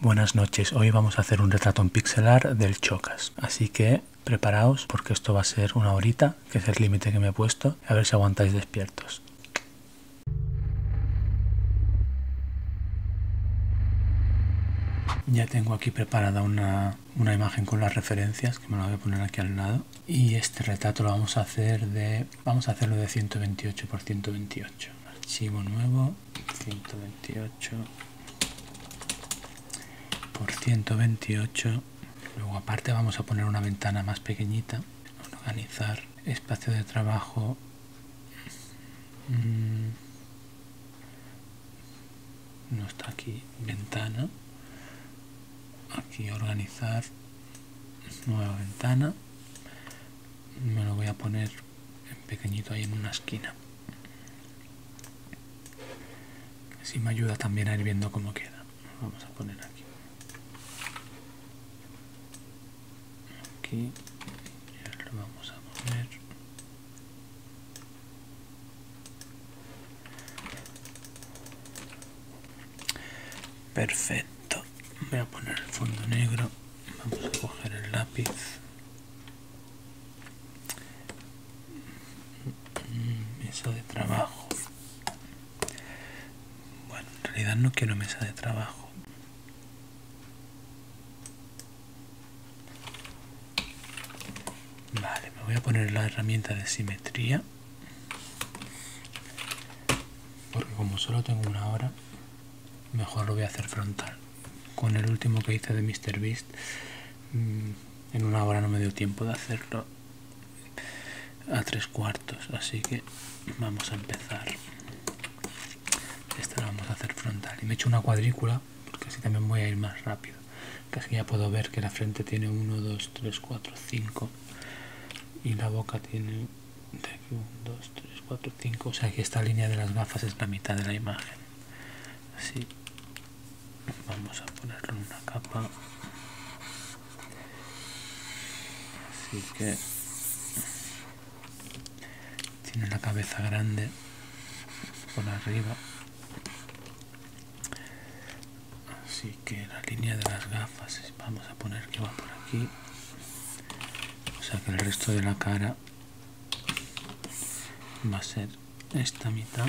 Buenas noches, hoy vamos a hacer un retrato en pixelar del Chocas, así que preparaos porque esto va a ser una horita, que es el límite que me he puesto, a ver si aguantáis despiertos. Ya tengo aquí preparada una, imagen con las referencias, que me la voy a poner aquí al lado, y este retrato lo vamos a hacer de, vamos a hacerlo de 128 x 128. Archivo nuevo, 128 por 128 luego aparte vamos a poner una ventana más pequeñita organizar espacio de trabajo mm, no está aquí ventana aquí organizar nueva ventana me lo voy a poner en pequeñito ahí en una esquina. Así me ayuda también a ir viendo cómo queda. Vamos a poner aquí. Aquí ya lo vamos a poner. Perfecto. Voy a poner el fondo negro. Vamos a coger el lápiz. Mm, mesa de trabajo bueno en realidad no quiero mesa de trabajo vale me voy a poner la herramienta de simetría porque como solo tengo una hora mejor lo voy a hacer frontal. Con el último que hice de Mr. Beast, mm, en una hora no me dio tiempo de hacerlo a tres cuartos, así que vamos a empezar. Esta la vamos a hacer frontal. Y me he hecho una cuadrícula, porque así también voy a ir más rápido. Casi ya puedo ver que la frente tiene 1, 2, 3, 4, 5. Y la boca tiene 1, 2, 3, 4, 5. O sea que esta línea de las gafas es la mitad de la imagen así vamos a ponerle una capa así que tiene la cabeza grande por arriba así que la línea de las gafas vamos a poner que va por aquí o sea que el resto de la cara va a ser esta mitad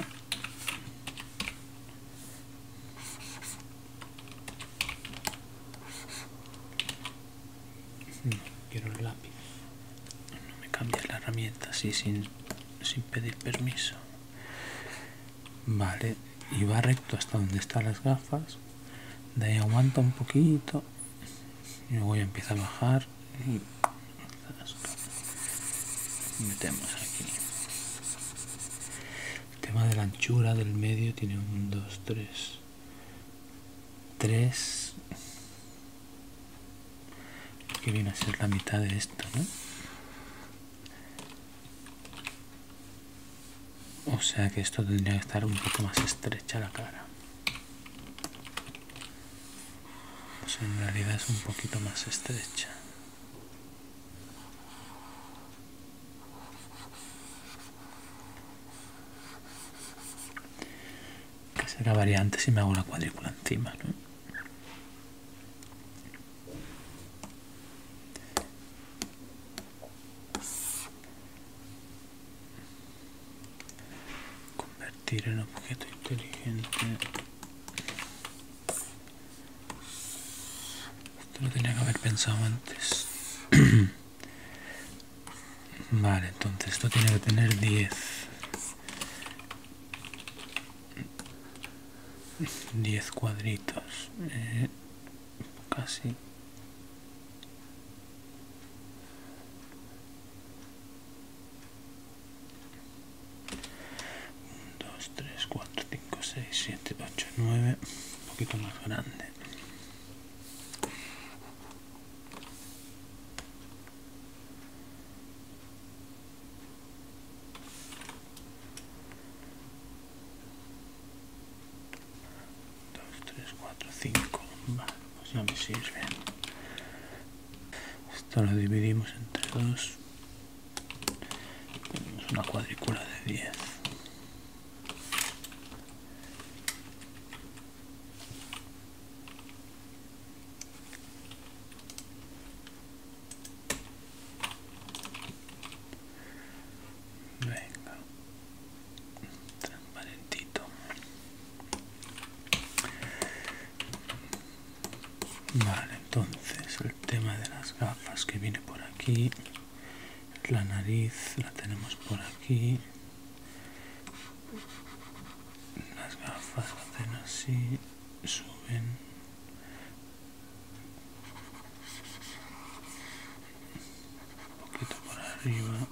no, quiero el lápiz no me cambies la herramienta así sin, pedir permiso vale y va recto hasta donde están las gafas de ahí aguanta un poquito y voy a empezar a bajar metemos aquí el tema de la anchura del medio tiene un 2 3 3 que viene a ser la mitad de esto ¿no? o sea que esto tendría que estar un poco más estrecha la cara pues en realidad es un poquito más estrecha que será variante si me hago la cuadrícula encima ¿no? convertir en objeto inteligente esto lo tenía que haber pensado antes vale entonces esto tiene que tener 10 10 cuadritos eh, casi 2, 3, 4, 5, 6, 7, 8, 9, un poquito más grande. Dos, tres, cuatro, cinco. Vale, pues ya me sirve. Esto lo dividimos entre dos. Tenemos una cuadrícula de 10. Valentito. vale entonces el tema de las gafas que viene por aquí la nariz la tenemos por aquí las gafas hacen así suben un poquito por arriba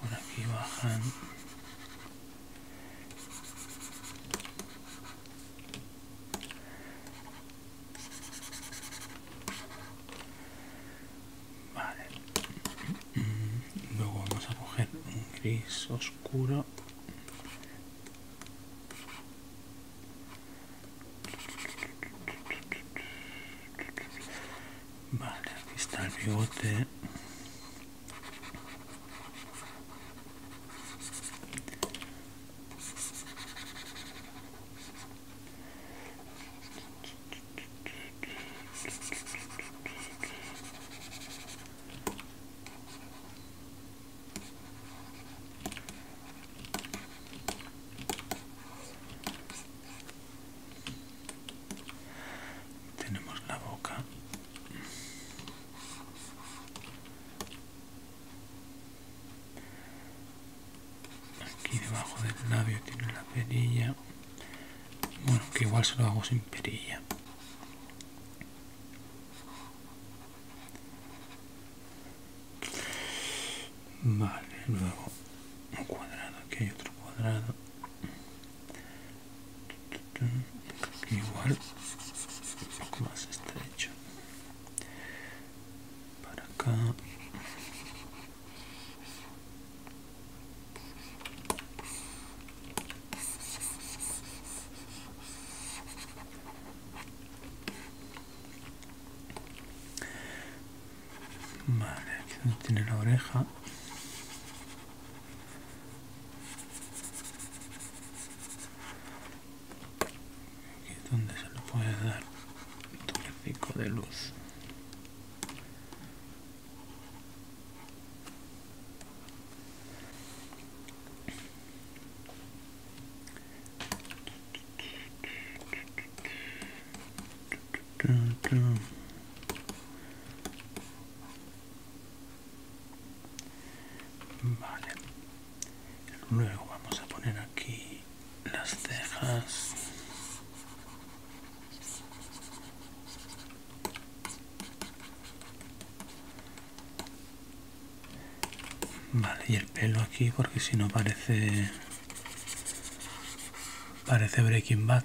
por aquí bajan vale luego vamos a coger un gris oscuro Vale, aquí está el bigote tenemos la boca aquí debajo del labio tiene la perilla bueno que igual se lo hago sin perilla vale luego un cuadrado aquí hay otro cuadrado igual un poco más estrecho para acá Vale, tiene la oreja Aquí es donde se lo puede dar un de luz. Vale. Luego vamos a poner aquí las cejas. Vale, y el pelo aquí porque si no parece... Parece Breaking Bad.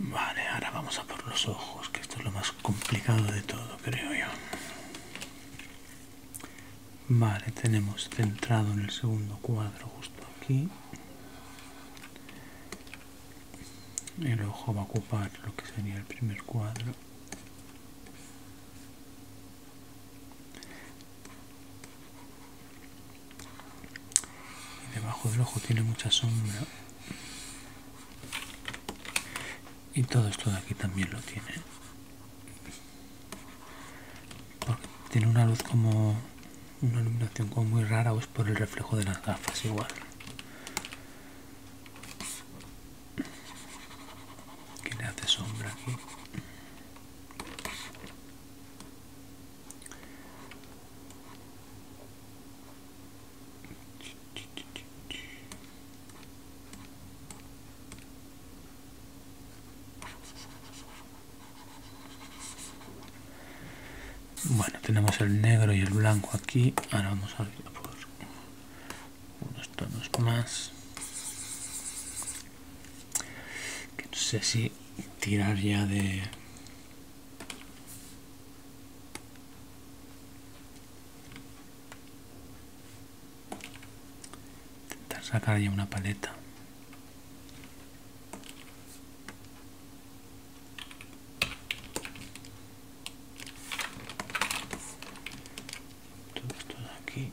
Vale, ahora vamos a por los ojos, que esto es lo más complicado de todo, creo yo. Vale, tenemos centrado en el segundo cuadro justo aquí. El ojo va a ocupar lo que sería el primer cuadro y debajo del ojo tiene mucha sombra y todo esto de aquí también lo tiene tiene una luz como una iluminación como muy rara o es por el reflejo de las gafas igual que le hace sombra aquí bueno, tenemos el negro y el blanco aquí. Ahora vamos a ver por unos tonos más que no sé si tirar ya de intentar sacar ya una paleta todo esto de aquí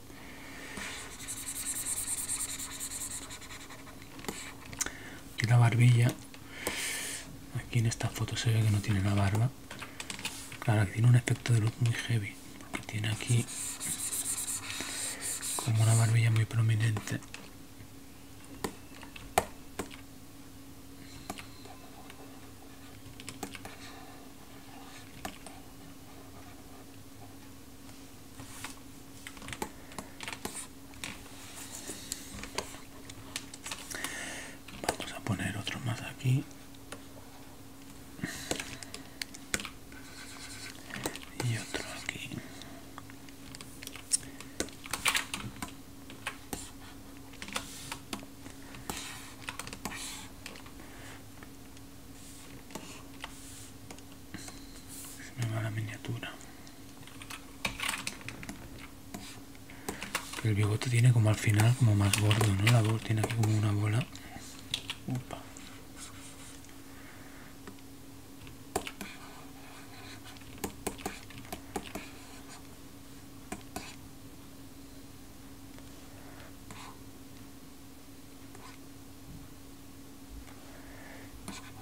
Y la barbilla. Aquí en esta foto se ve que no tiene la barba. Claro, tiene un aspecto de luz muy heavy. Porque tiene aquí como una barbilla muy prominente. Vamos a poner otro más aquí. Y otro aquí me va la miniatura. el bigote tiene como al final como más gordo, ¿no? La bola tiene como una bola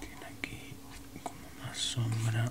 tiene aquí como más sombra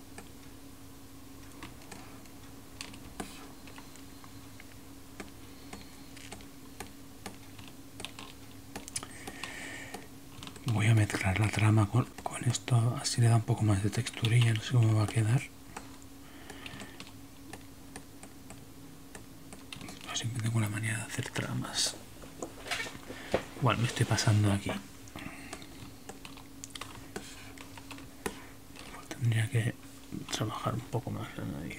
Voy a meter la trama con, esto, así le da un poco más de texturilla, no sé cómo va a quedar. Siempre tengo la manía de hacer tramas. Igual me estoy pasando aquí tendría que trabajar un poco más la nariz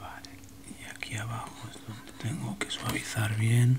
Vale, y aquí abajo es donde tengo que suavizar bien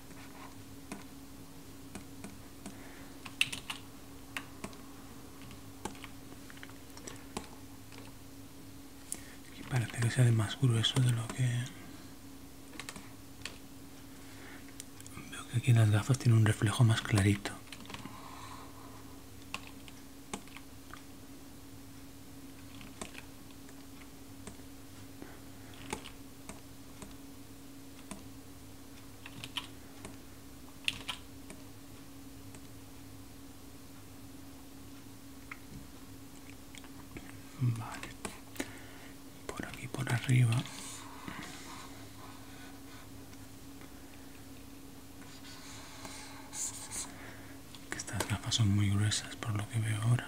Aquí parece que sea de más grueso de lo que... Veo que aquí en las gafas tiene un reflejo más clarito. Vale. Por aquí, por arriba. estas gafas son muy gruesas por lo que veo ahora.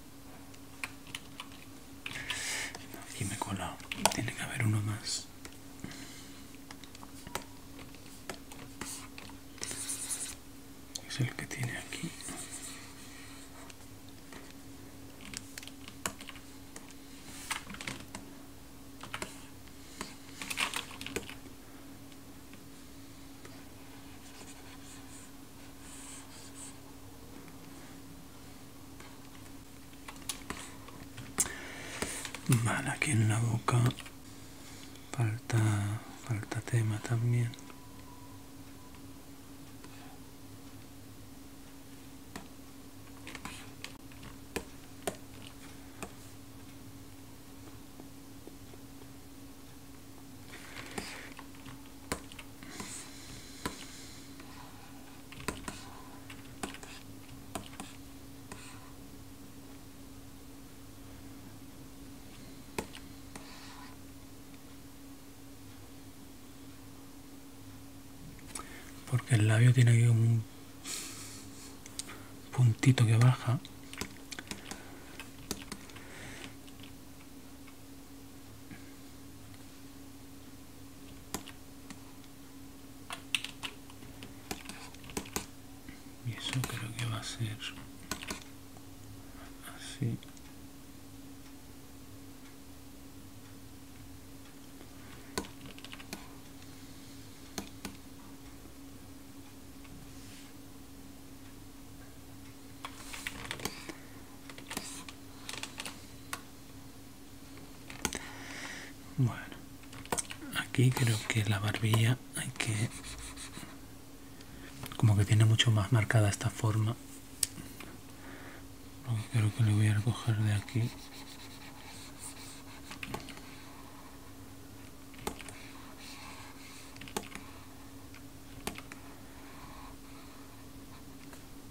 Aquí me he colado. Tiene que haber uno más. Es el que tiene aquí. Mana aquí en la boca falta, falta tema también porque el labio tiene un puntito que baja y eso creo que va a Bueno, aquí creo que la barbilla hay que... Como que tiene mucho más marcada esta forma. Creo que le voy a recoger de aquí.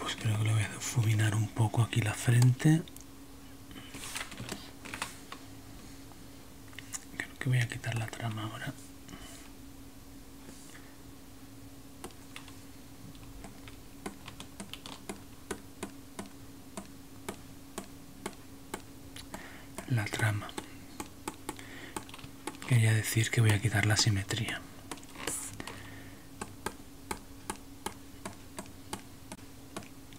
Pues creo que lo voy a difuminar un poco aquí la frente Creo que voy a quitar la trama ahora. La trama. Quería decir que voy a quitar la simetría.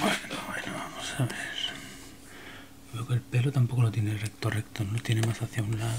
Bueno, bueno, vamos a ver. Veo que el pelo tampoco lo tiene recto, recto, no tiene más hacia un lado.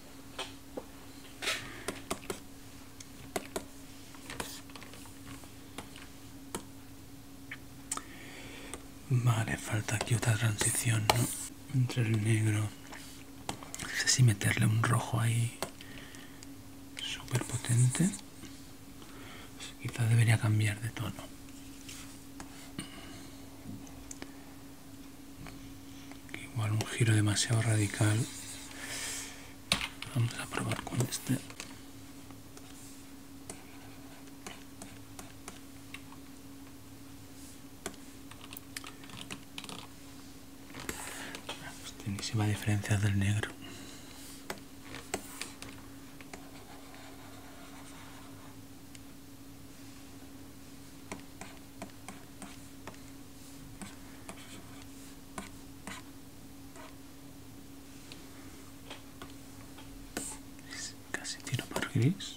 Vale, falta aquí otra transición, ¿no? Entre el negro. No sé si meterle un rojo ahí. Súper potente. quizás debería cambiar de tono igual un giro demasiado radical vamos a probar con este Tiene este se del negro casi tiro por gris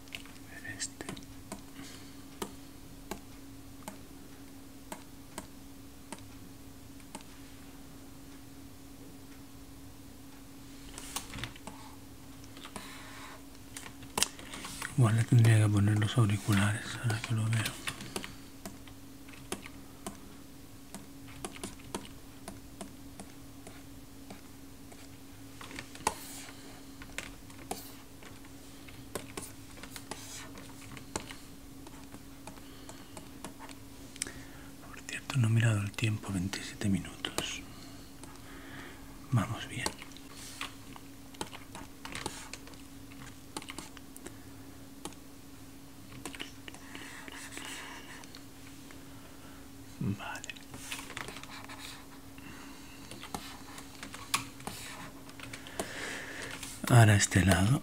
este igual le tendría que poner los auriculares ahora que lo veo por cierto, no he mirado el tiempo, 27 minutos. Vamos bien. Vale. Ahora este lado.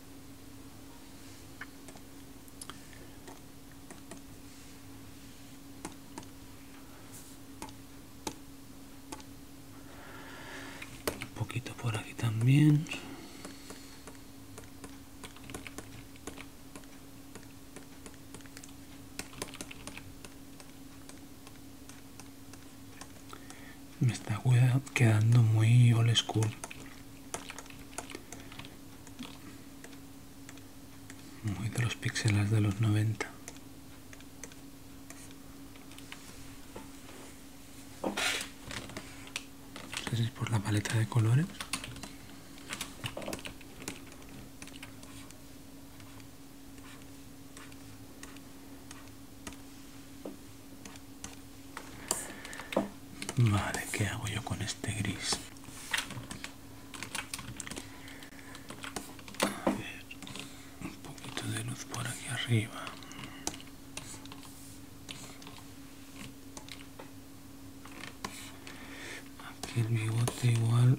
un poquito por aquí también me está quedando muy old school muy de los píxeles de los 90 es por la paleta de colores Vale, ¿qué hago yo con este gris? un poquito de luz por aquí arriba. Aquí el bigote igual.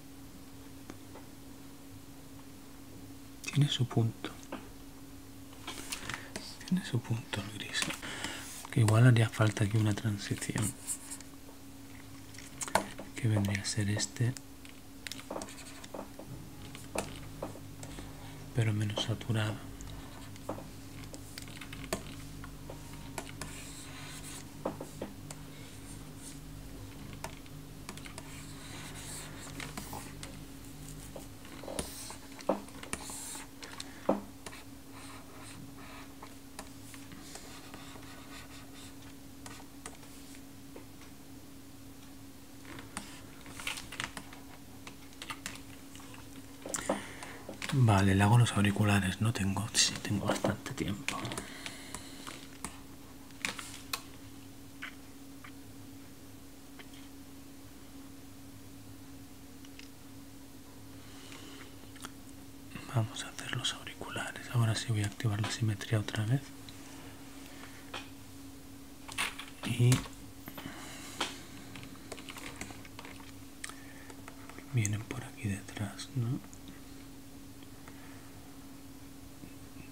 Tiene su punto. Tiene su punto el gris. Que igual haría falta aquí una transición. Que vendría a ser este. Pero menos saturado. Vale, le hago los auriculares, no tengo, si, tengo bastante tiempo. Vamos a hacer los auriculares. Ahora sí voy a activar la simetría otra vez. Y vienen por aquí detrás, ¿no?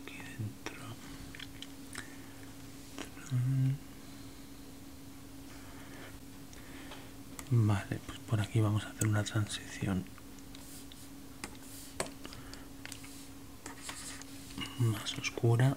aquí dentro. Vale, pues por aquí vamos a hacer una transición. Más oscura.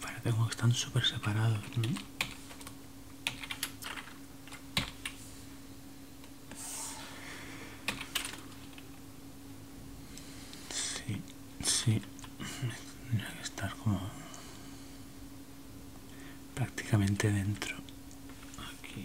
Para tengo que estar súper separados. Sí, sí. Tendría que estar como prácticamente dentro. Aquí.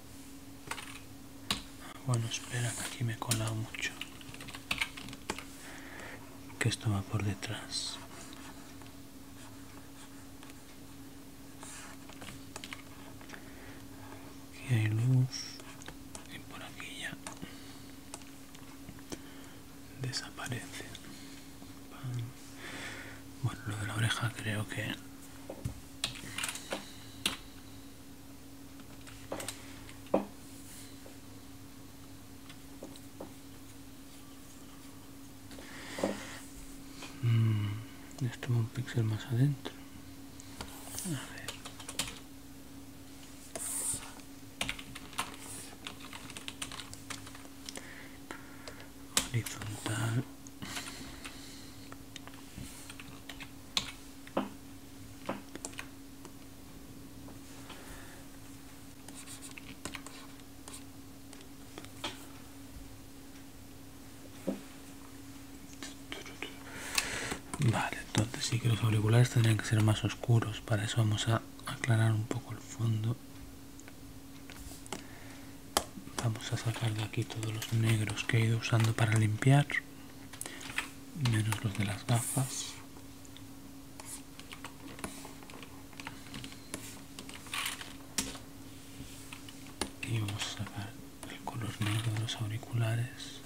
Bueno, espera, que aquí me he colado mucho. Que esto va por detrás. Aquí hay luz. Y por aquí ya desaparece. Bueno, lo de la oreja creo que Mm, esto es un píxel más adentro. Horizontal. Vale, entonces sí que los auriculares tendrían que ser más oscuros. Para eso vamos a aclarar un poco el fondo. Vamos a sacar de aquí todos los negros que he ido usando para limpiar menos los de las gafas y vamos a sacar el color negro de los auriculares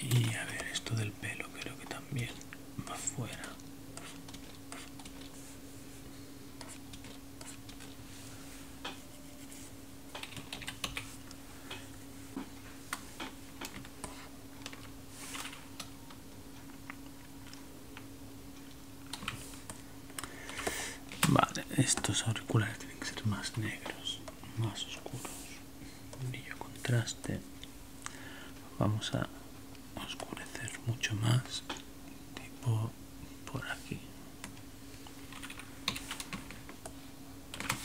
y a ver esto del pelo creo que también va fuera Vale, estos auriculares tienen que ser más negros, más oscuros brillo contraste vamos a oscurecer mucho más tipo por aquí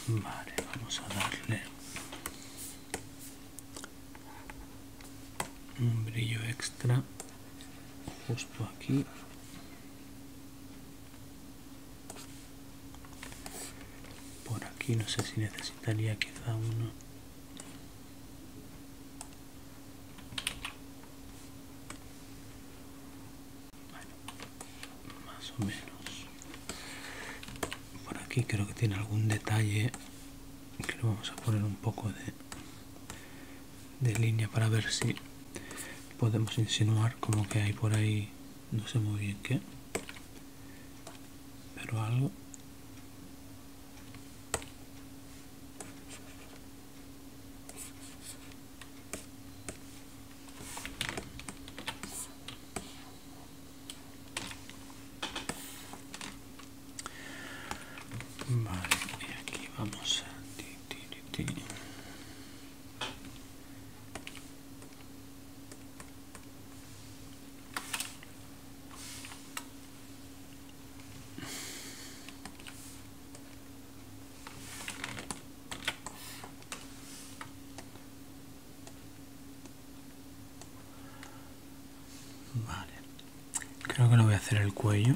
vale vamos a darle un brillo extra justo aquí por aquí no sé si necesitaría quizá uno más o menos por aquí creo que tiene algún detalle que le vamos a poner un poco de de línea para ver si podemos insinuar como que hay por ahí no sé muy bien qué pero algo aquí vamos a... Vale, creo que no voy a hacer el cuello.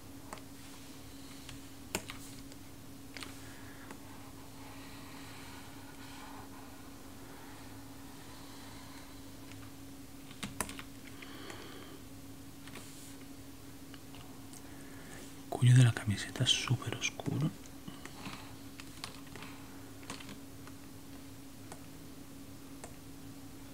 Cuño de la camiseta super oscuro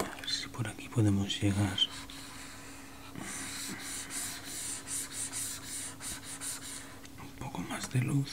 A ver si por aquí podemos llegar. Un poco más de luz.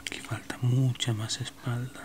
Aquí falta mucha más espalda.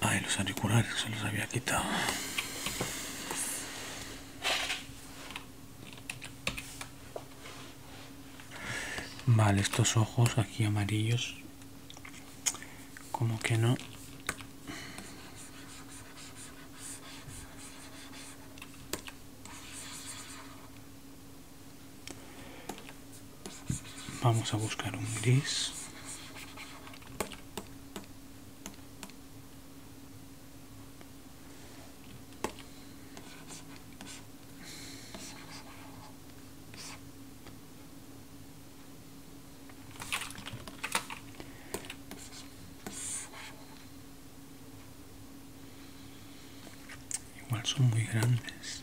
Ay, los auriculares se los había quitado. Vale, estos ojos aquí amarillos, como que no. Vamos a buscar un gris. igual son muy grandes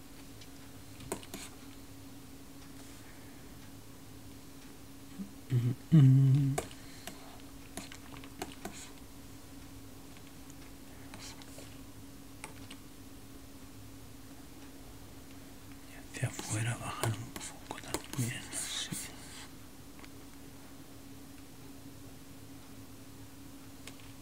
Mm Y hacia afuera bajar un poco también. sí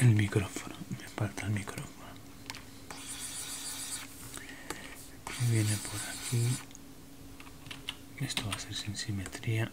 El micrófono, me falta el micrófono. Viene por aquí. Esto va a ser sin simetría.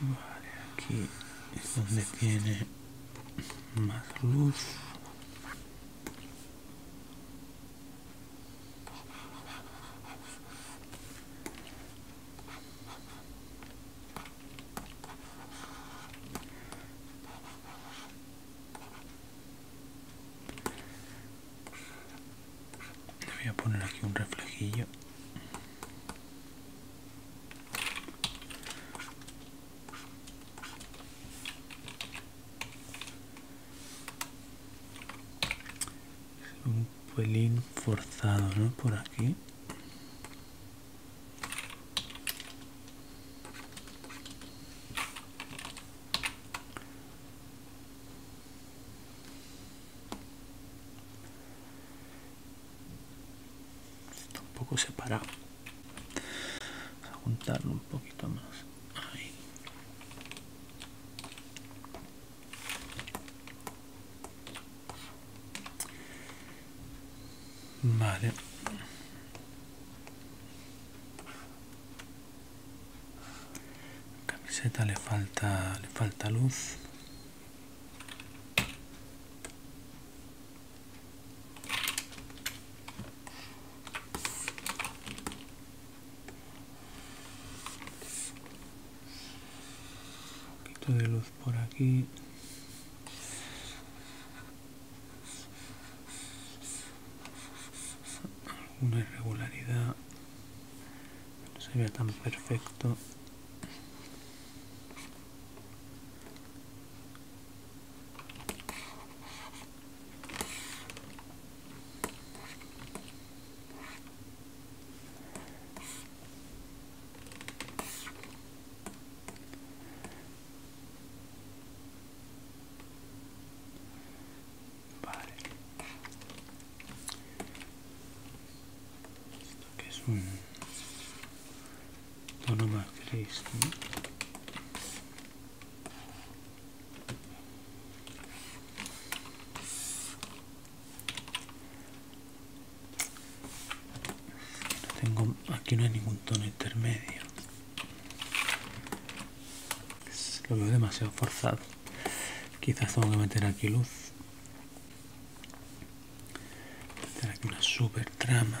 Vale, aquí es donde tiene más luz voy a poner aquí un reflejillo un pelín forzado no por aquí un poco separado. juntarlo un poquito más. Vale. Camiseta le falta le falta luz. poquito de luz por aquí alguna irregularidad no sería tan perfecto Vale. que es un tono más gris, tengo, aquí no hay ningún tono intermedio lo veo demasiado forzado. Quizás tengo que meter aquí luz. aquí una super trama.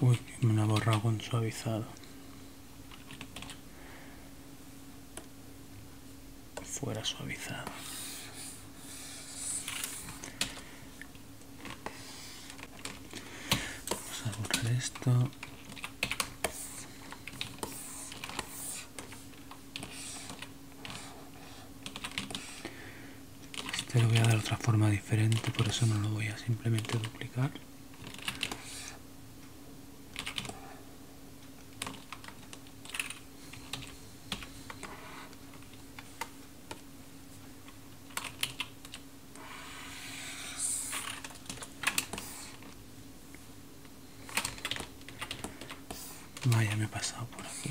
Uy, me ha borrado con suavizado. Fuera suavizado. Vamos a borrar esto. Este lo voy a dar otra forma diferente, por eso no lo voy a simplemente duplicar. Vaya, me he pasado por aquí.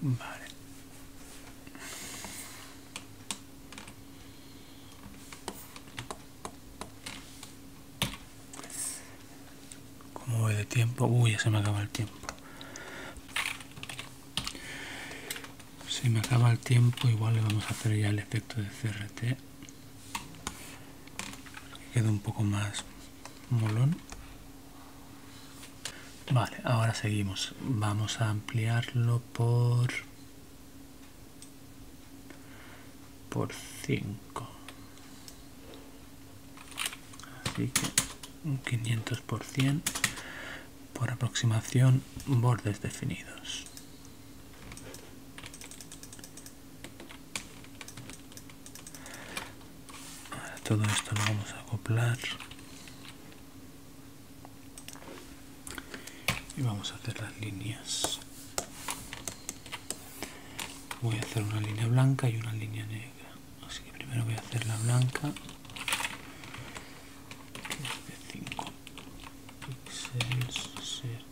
Vale. Como voy de tiempo? Uy, ya se me acaba el tiempo. Si me acaba el tiempo, igual le vamos a hacer ya el efecto de CRT queda un poco más molón vale ahora seguimos vamos a ampliarlo por por 5 así que un 500 por 100 por aproximación bordes definidos Ahora todo esto lo vamos a acoplar y vamos a hacer las líneas voy a hacer una línea blanca y una línea negra así que primero voy a hacer la blanca 5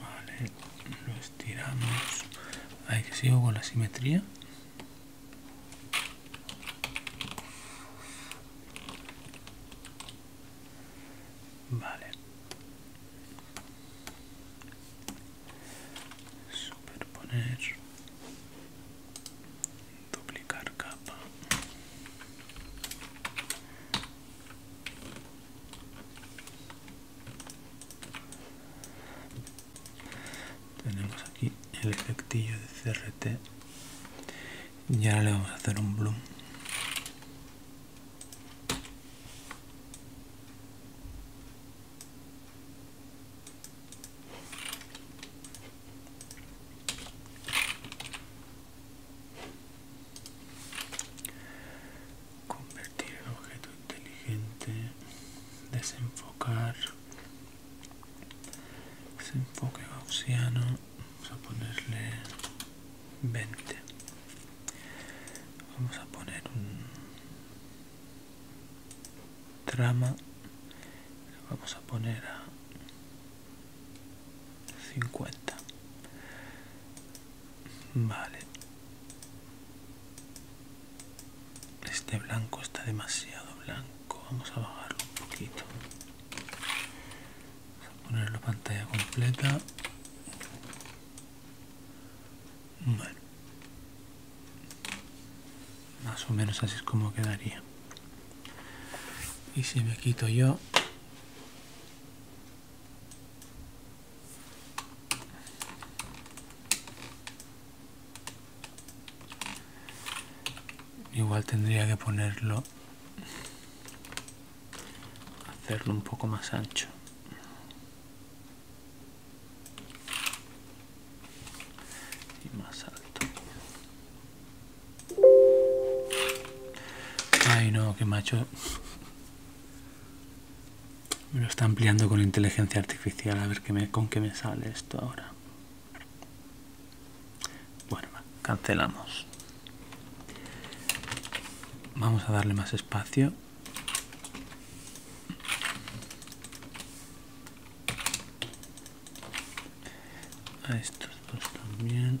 Vale, lo estiramos. hay que sigo con la simetría. Vale. Superponer. Duplicar capa. Tenemos aquí el efectillo de CRT y ahora le vamos a hacer un bloom Convertir el objeto inteligente, desenfocar, desenfoque gaussiano, vamos a ponerle 20 vamos a poner un trama vamos a poner a 50 vale este blanco está demasiado blanco vamos a bajarlo un poquito vamos a ponerlo pantalla completa más o menos así es como quedaría. Y si me quito yo... Igual tendría que ponerlo hacerlo un poco más ancho y más alto ay no que macho me lo está ampliando con inteligencia artificial a ver qué me, con qué me sale esto ahora bueno cancelamos vamos a darle más espacio a estos dos también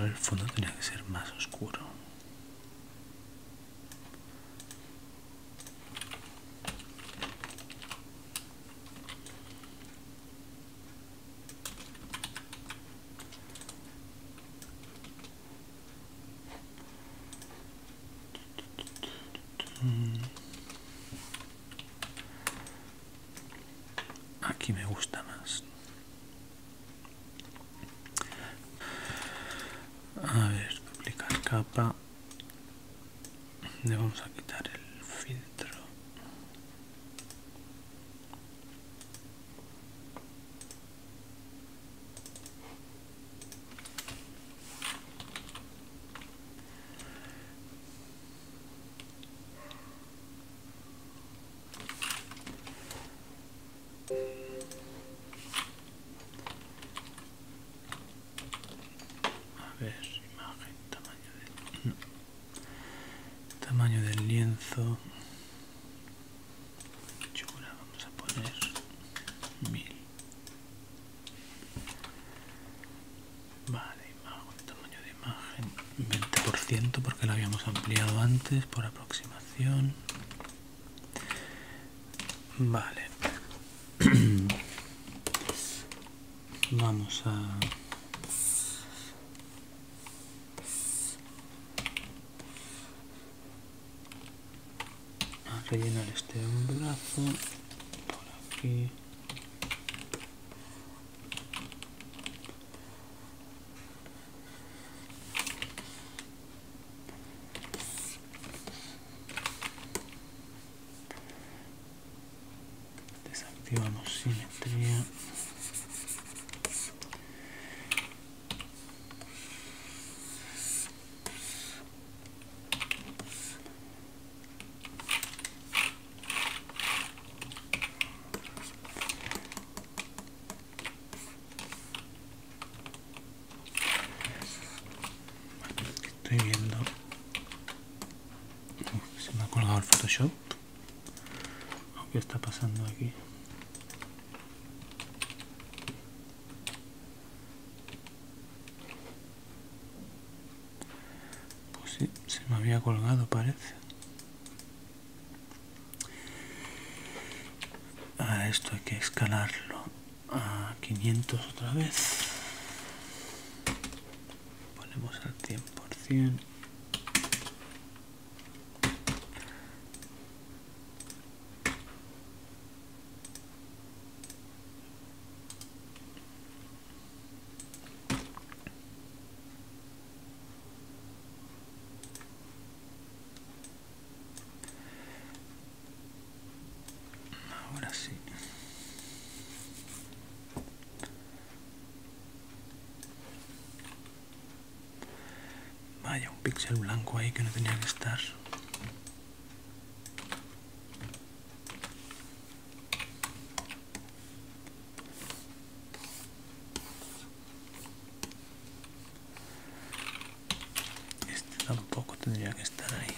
el fondo tenía que ser más oscuro. Aquí me gusta más. A ver, publicar capa. Le vamos a quitar el filtro. A ver, imagen, tamaño del, tamaño del lienzo. Chula, vamos a poner mil. Vale, tamaño de imagen 20% porque lo habíamos ampliado antes por aproximación. Vale. Vamos a... a rellenar este brazo por aquí Desactivamos simetría. Estoy viendo... se me ha colgado el Photoshop. ¿Qué está pasando aquí? Pues sí, se me había colgado parece a esto hay que escalarlo a 500 otra vez. Ponemos al 100%. Ahora sí. Vaya, un píxel blanco ahí que no tenía que estar. Este tampoco tendría que estar ahí.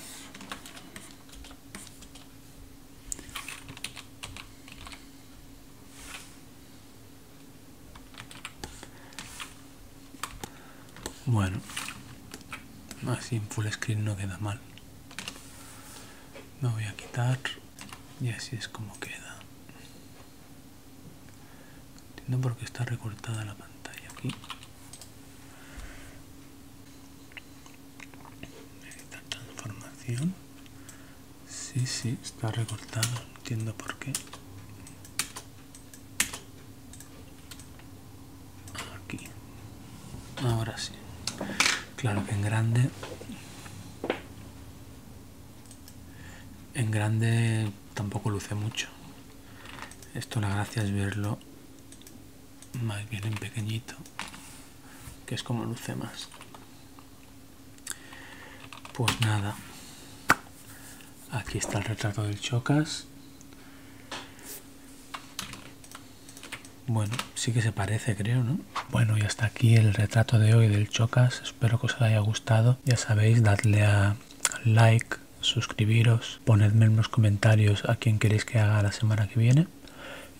Bueno, así en full screen no queda mal. No voy a quitar y así es como queda entiendo porque está recortada la pantalla aquí esta transformación sí sí está recortado entiendo por qué aquí ahora sí claro que en grande en grande tampoco luce mucho. Esto la gracia es verlo más bien en pequeñito, que es como luce más. Pues nada, aquí está el retrato del Chocas. Bueno, sí que se parece, creo, ¿no? Bueno, y hasta aquí el retrato de hoy del Chocas. Espero que os haya gustado. Ya sabéis, dadle a like, suscribiros, ponedme en los comentarios a quién queréis que haga la semana que viene.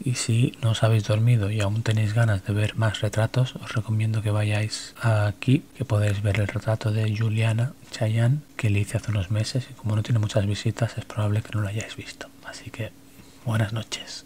Y si no os habéis dormido y aún tenéis ganas de ver más retratos, os recomiendo que vayáis aquí, que podéis ver el retrato de Juliana Chayan, que le hice hace unos meses y como no tiene muchas visitas es probable que no lo hayáis visto. Así que buenas noches.